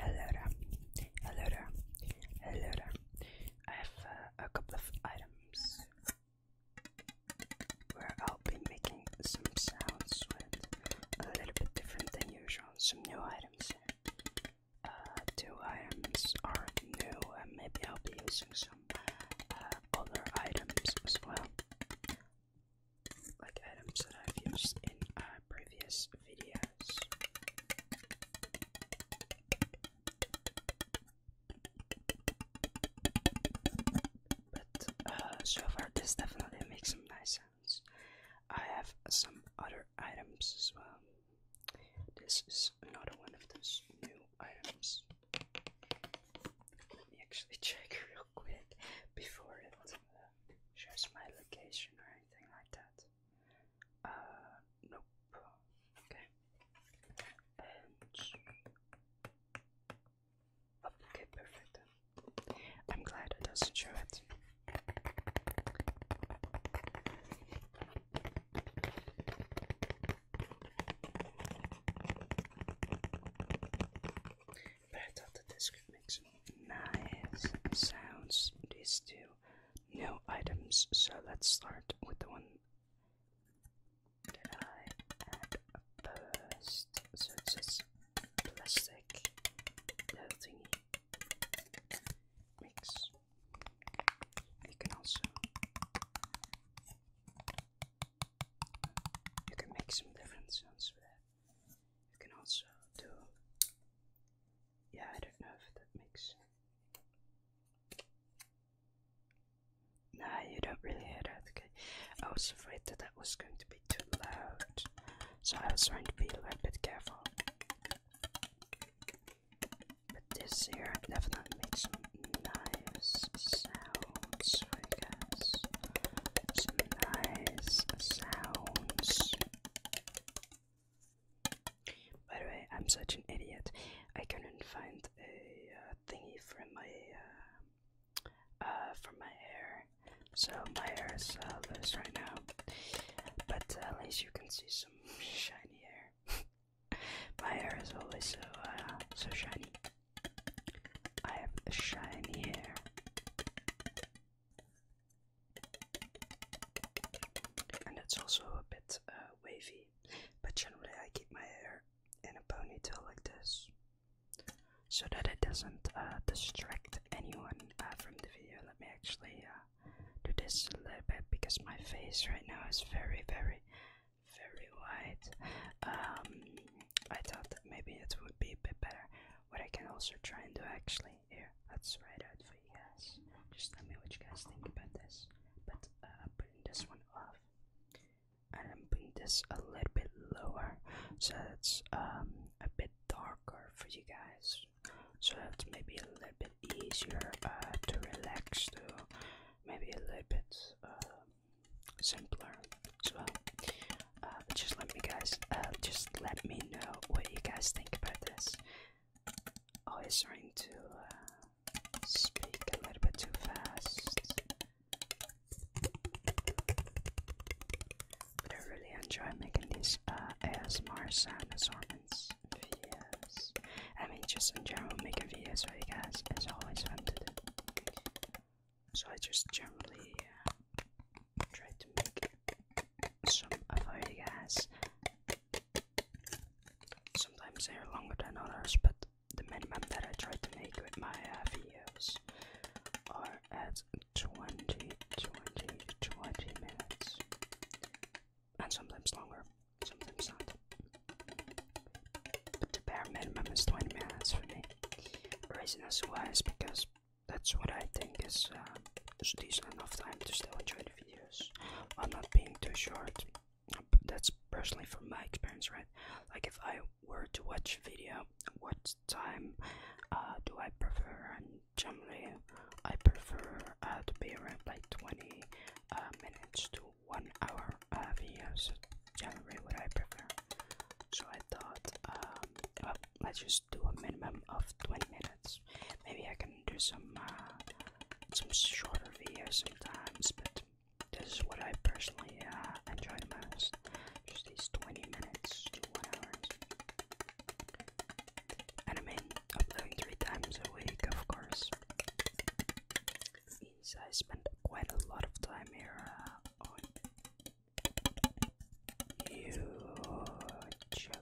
Hello Hello Hello I have uh, a couple of items where I'll be making some sounds with a little bit different than usual. Some new items uh, two items are new, and maybe I'll be using some uh, other items as well. Like items that I've used in uh, previous but uh, so far, this definitely makes some nice sounds. I have some other items as well. This is another one of those new items. Let me actually check real quick before it uh, shows my location or anything like that. Uh, nope. Okay. okay, perfect. I'm glad it doesn't show it but could make some nice sounds. These two new items. So let's start with the one that I first. plastic thingy mix. You can also you can make some different sounds with it you can also do yeah I don't know if that makes nah you don't really hear that okay I was afraid that that was going to be too loud so I was trying to be a little bit careful but this here definitely makes nice sounds I guess some nice sounds by the way, I'm such an idiot. I couldn't find a uh, thingy for my uh, uh, for my hair, so my hair is uh, loose right now. But at least you can see some shiny hair. my hair is always so so shiny. I have shiny hair. And it's also a bit uh, wavy, but generally I keep my hair in a ponytail like this so that it doesn't uh, distract anyone uh, from the video. Let me actually do this a little bit because my face right now is very, very, very wide. Um, I thought that maybe it would be a bit better. What I can also try and do actually yeah, that's right out for you guys. Just let me know what you guys think about this. But uh, I'm putting this one off, and I'm putting this a little bit lower, so it's um a bit darker for you guys. So it's maybe a little bit easier uh, to relax to, maybe a little bit uh, simpler as well. Uh, just let me guys, uh, just let me know what you guys think about this. Oh, it's trying to uh, speak a little bit too fast. But I really enjoy making these uh, ASMR sound assortments videos. I mean, just in general, making videos for you guys is always fun to do. So I just generally try to make some of our guys. Sometimes they are longer than others, but the minimum that I try to make with my uh, videos are at 20, 20, 20 minutes. And sometimes longer, sometimes not. But the bare minimum is 20 minutes for me. The reason as why is because that's what I think is uh, decent enough time to still enjoy the videos I'm not being too short. That's personally from my experience, right? Like if I were to watch a video, what time uh, do I prefer? And generally, I prefer uh, to be around like 20 uh, minutes to one hour uh, videos. Generally, what I prefer. So I thought, um, let's just just do a minimum of 20 minutes. Maybe I can do some uh, some shorter videos sometimes, but this is what I personally uh, enjoy the most. Just these 20 minutes to 1 hour. And I mean, 3 times a week, of course. Means I spend quite a lot of time here uh, YouTube.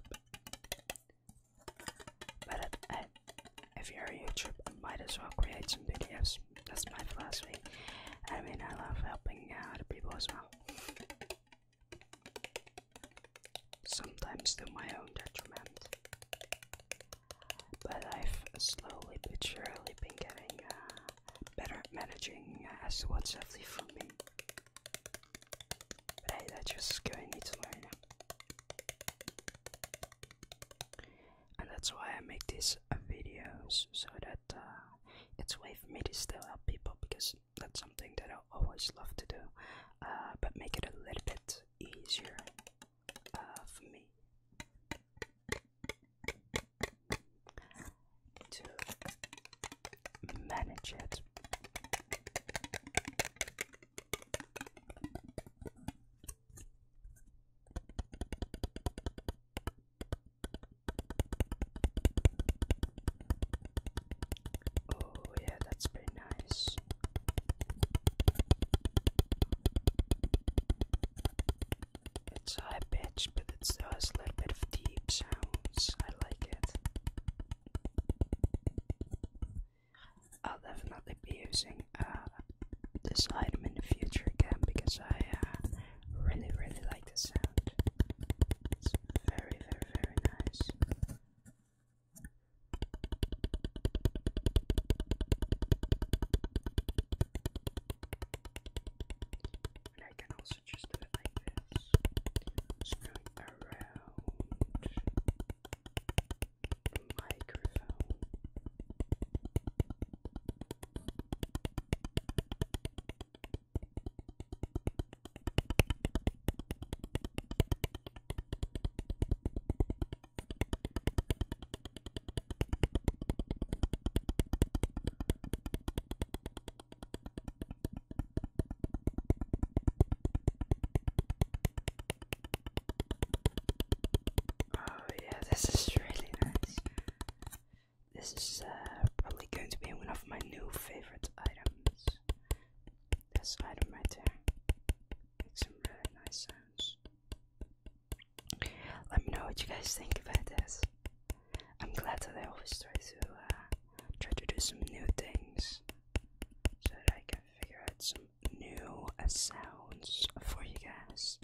But I, uh, if you're YouTube, might as well create some videos. That's my philosophy. I mean, I love helping out people as well. Sometimes to my own detriment. But I've slowly but surely been getting uh, better at managing uh, as what's healthy for me. But just going Italian. And that's why I make these uh, videos so that uh, it's way for me to still help people because that's something that I always love to do, uh, but make it a little bit easier uh, for me to manage it. Oh, yeah, that's pretty nice. It's high pitch, but it still a little bit of deep sounds. I like it. I'll definitely be using uh, this item in the future again because I uh, really, really like the sound. It's very, very, very nice around the microphone. Oh yeah, this is really nice. This is uh, probably going to be one of my new favorite items. This item right there makes some really nice sounds. Let me know what you guys think about this. I'm glad that I always try to uh, try to do some new things so that I can figure out some new uh, sounds for you guys.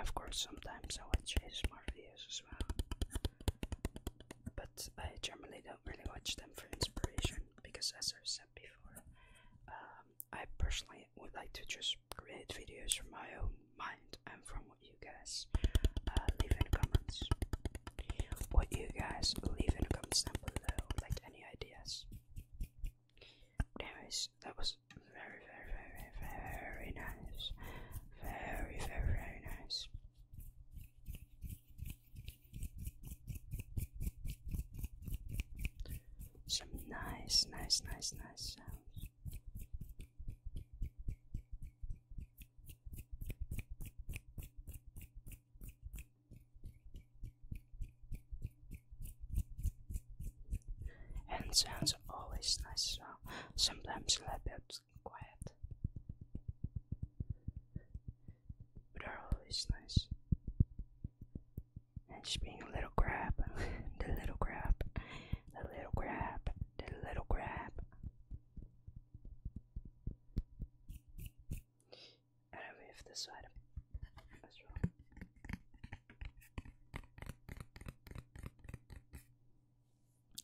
of course, sometimes I watch ASMR videos as well, but I generally don't really watch them for inspiration because, as i said before, um, I personally would like to just create videos from my own mind and from what you get. Uh, leave in comments what you guys leave in comments down below like any ideas anyways that was very very very very nice very very very nice some nice nice nice nice sounds and sounds always nice, so sometimes a little bit quiet, but are always nice. And just being a little crab, a little crab, a little crab, a little crab. And remove this side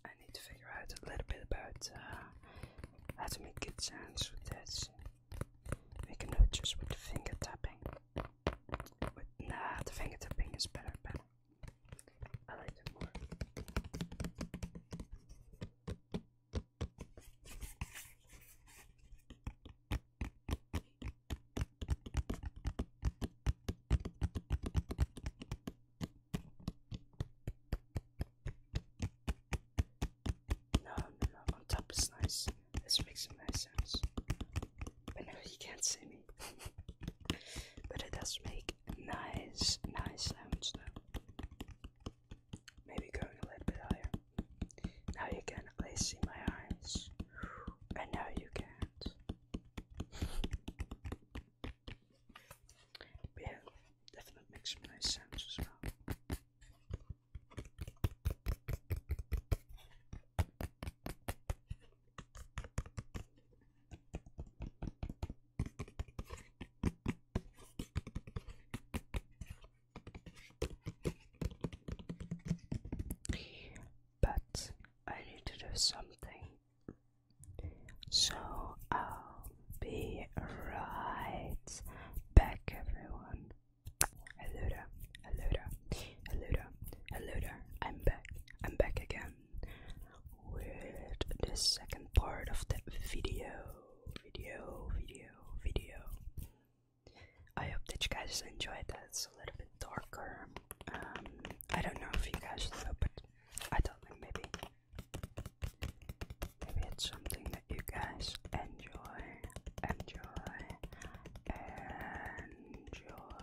I need to figure out a little bit about uh, how to make good sounds with this. We can do just with finger tapping. nah, the finger tapping is better, better. I like more. No, no, no, on top is nice. Let's make some nice sounds. you can't see me, but it does make nice, nice sounds now. Maybe going a little bit higher. Now you can at least see my eyes. And now you can't. yeah, definitely makes nice sounds as well. But I need to do something, so I'll um, be right back, everyone. Hello there, hello there, hello hello I'm back, I'm back again with the second part of the video. Video, video, video. I hope that you guys enjoyed that. It's a little bit darker. Um, I don't know if you guys know, but I don't think maybe. Maybe it's something that you guys enjoy, enjoy, enjoy.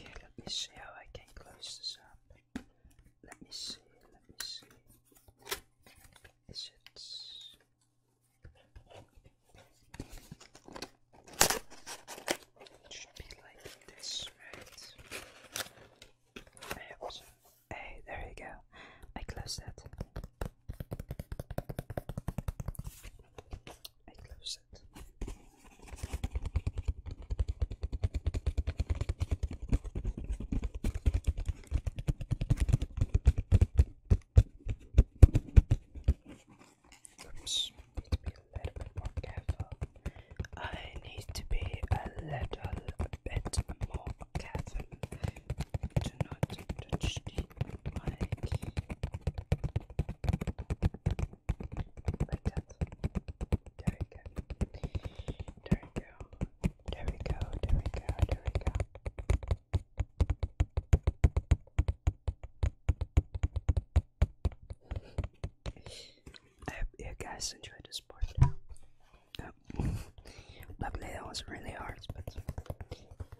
let me see how I can close this up. Let me see, let me see. Is it. should be like this, right? I Hey, there you go. I close that. I close it. Oops, need to be a little bit more careful. I need to be a little bit more careful. There we go. There we go. There we go. There we go. There we go. I hope you guys enjoyed this part. Luckily, that was really hard, but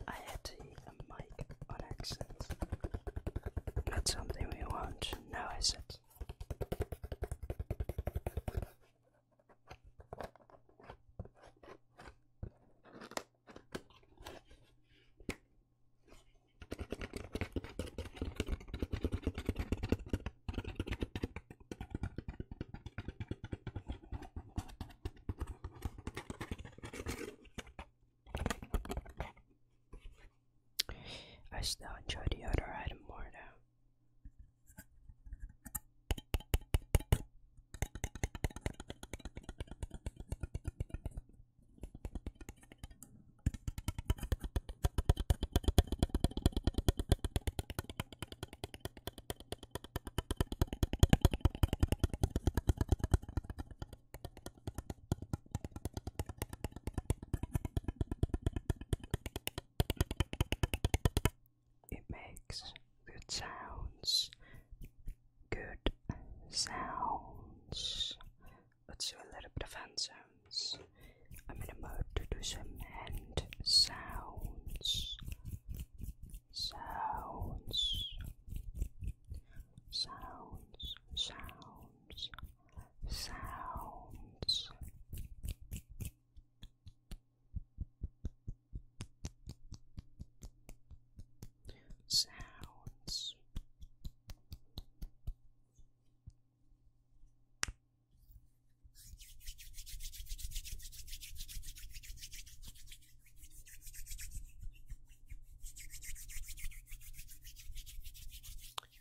I had to eat a mic on accident. Not something we want, now is it? I still enjoy the other item more though. It makes good sounds, good sounds. Let's do a little bit of hand sounds. I'm in a mood to do some hand sounds sounds, sounds, sounds, sounds. Sounds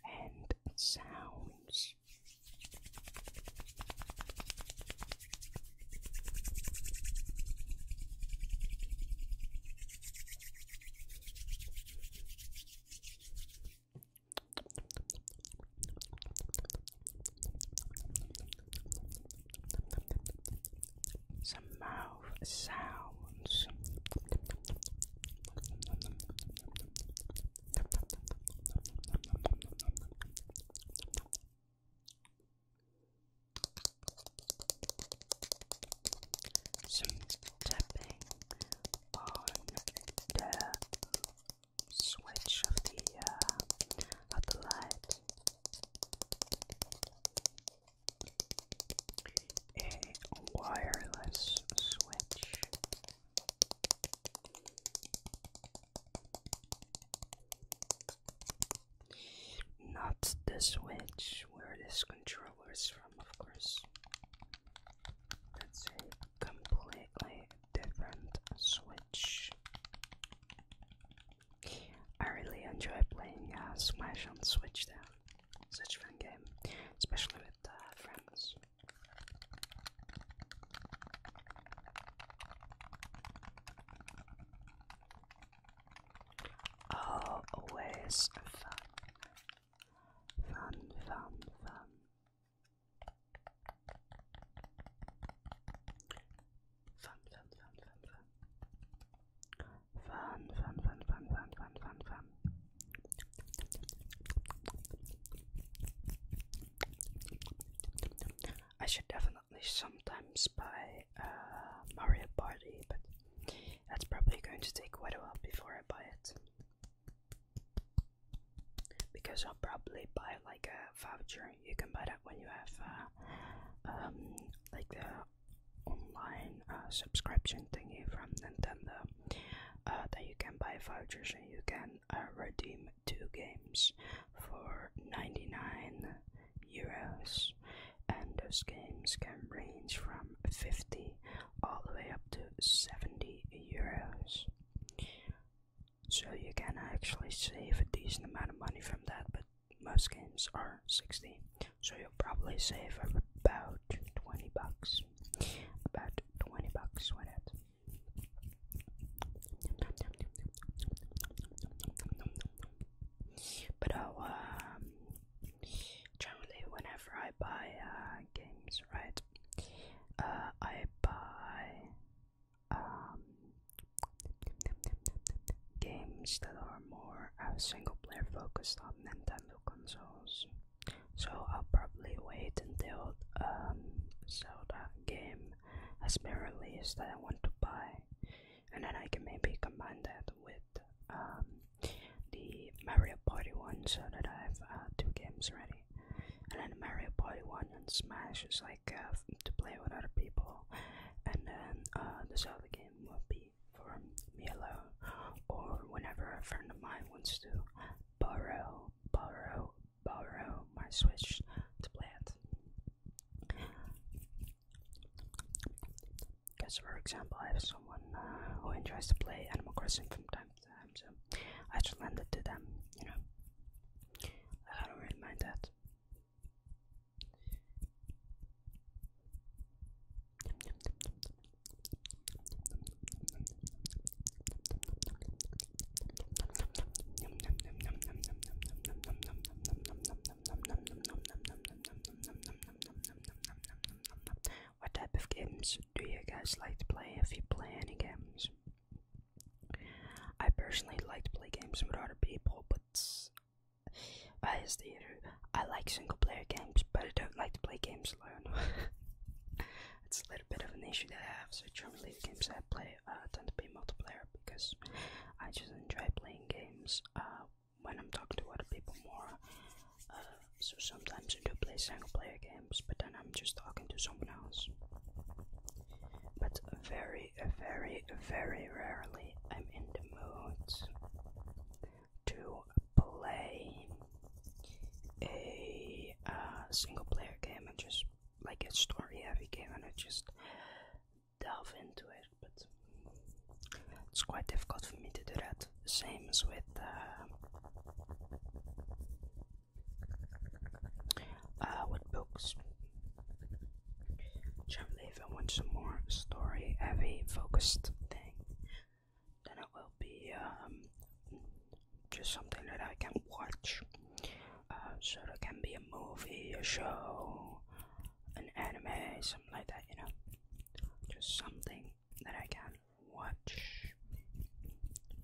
and sounds. Some mouth sounds. Some tapping on the switch of the uh, light. A wireless switch. Not the switch where this controller is from, of course. That's completely different Switch. I really enjoy playing uh, Smash on Switch though. Such a fun game, especially with uh, friends. Oh, always Fun, fun, fun. Fun, fun, fun, fun, fun. Fun, fun, fun, fun, fun, fun, fun, fun. I should definitely sometimes buy a uh, Mario Party, but that's probably going to take quite a while before I buy it because I'll probably buy like a voucher. You can buy that when you have uh, um, like the online uh, subscription thingy from Nintendo. Uh, you can buy vouchers and you can uh, redeem two games for 99 euros, and those games can range from 50 all the way up to 70 euros. So you can actually save a decent amount of money from that, but most games are 60. So you'll probably save about 20 bucks. About 20 bucks with it. But oh, um, generally whenever I buy uh, games, right, uh, I buy um, games that are more single player focused on Nintendo consoles. So I'll probably wait until a um, Zelda game has been released that I want to buy, and then I can maybe combine that with um, the Mario Party one so that I have uh, two games ready. And then Mario Party 1 and Smash is like uh, to play with other people. And then the uh, this other game will be for me alone or whenever a friend of mine wants to borrow, borrow, borrow my Switch to play it. Because, for example, I have someone uh, who enjoys to play Animal Crossing from time to time, so I just lend it to them, you know. I don't really mind that. What type of games do you guys like to play if you play any games? I personally like to play games with other people, but as the I like single player games, but I don't like to play games alone. it's a little bit of an issue that I have, so generally the games I play uh, tend to be multiplayer because I just enjoy playing games uh, when I'm talking to other people more. Uh, so sometimes I do play single player games, but then I'm just talking to someone else. But very, very, very rarely I'm in the mood to play a uh, single player game and just like a story heavy game and just delve into it. But it's quite difficult for me to do that. Same as with uh, uh, with books. Jim Levin wants some more story heavy focused thing. Then it will be um, just something that I can watch. Uh, so it can be a movie, a show, an anime, something like that, you know. Just something that I can watch.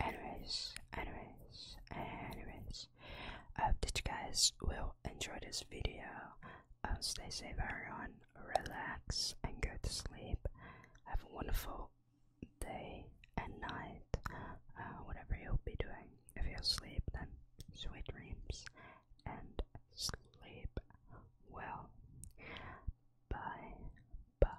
Anyways, anyways, anyways, I hope that you guys will enjoy this video. Um, stay safe, everyone. Relax and go to sleep. Have a wonderful day and night. Uh, whatever you'll be doing. If you'll sleep, then sweet dreams and sleep well. Bye. Bye.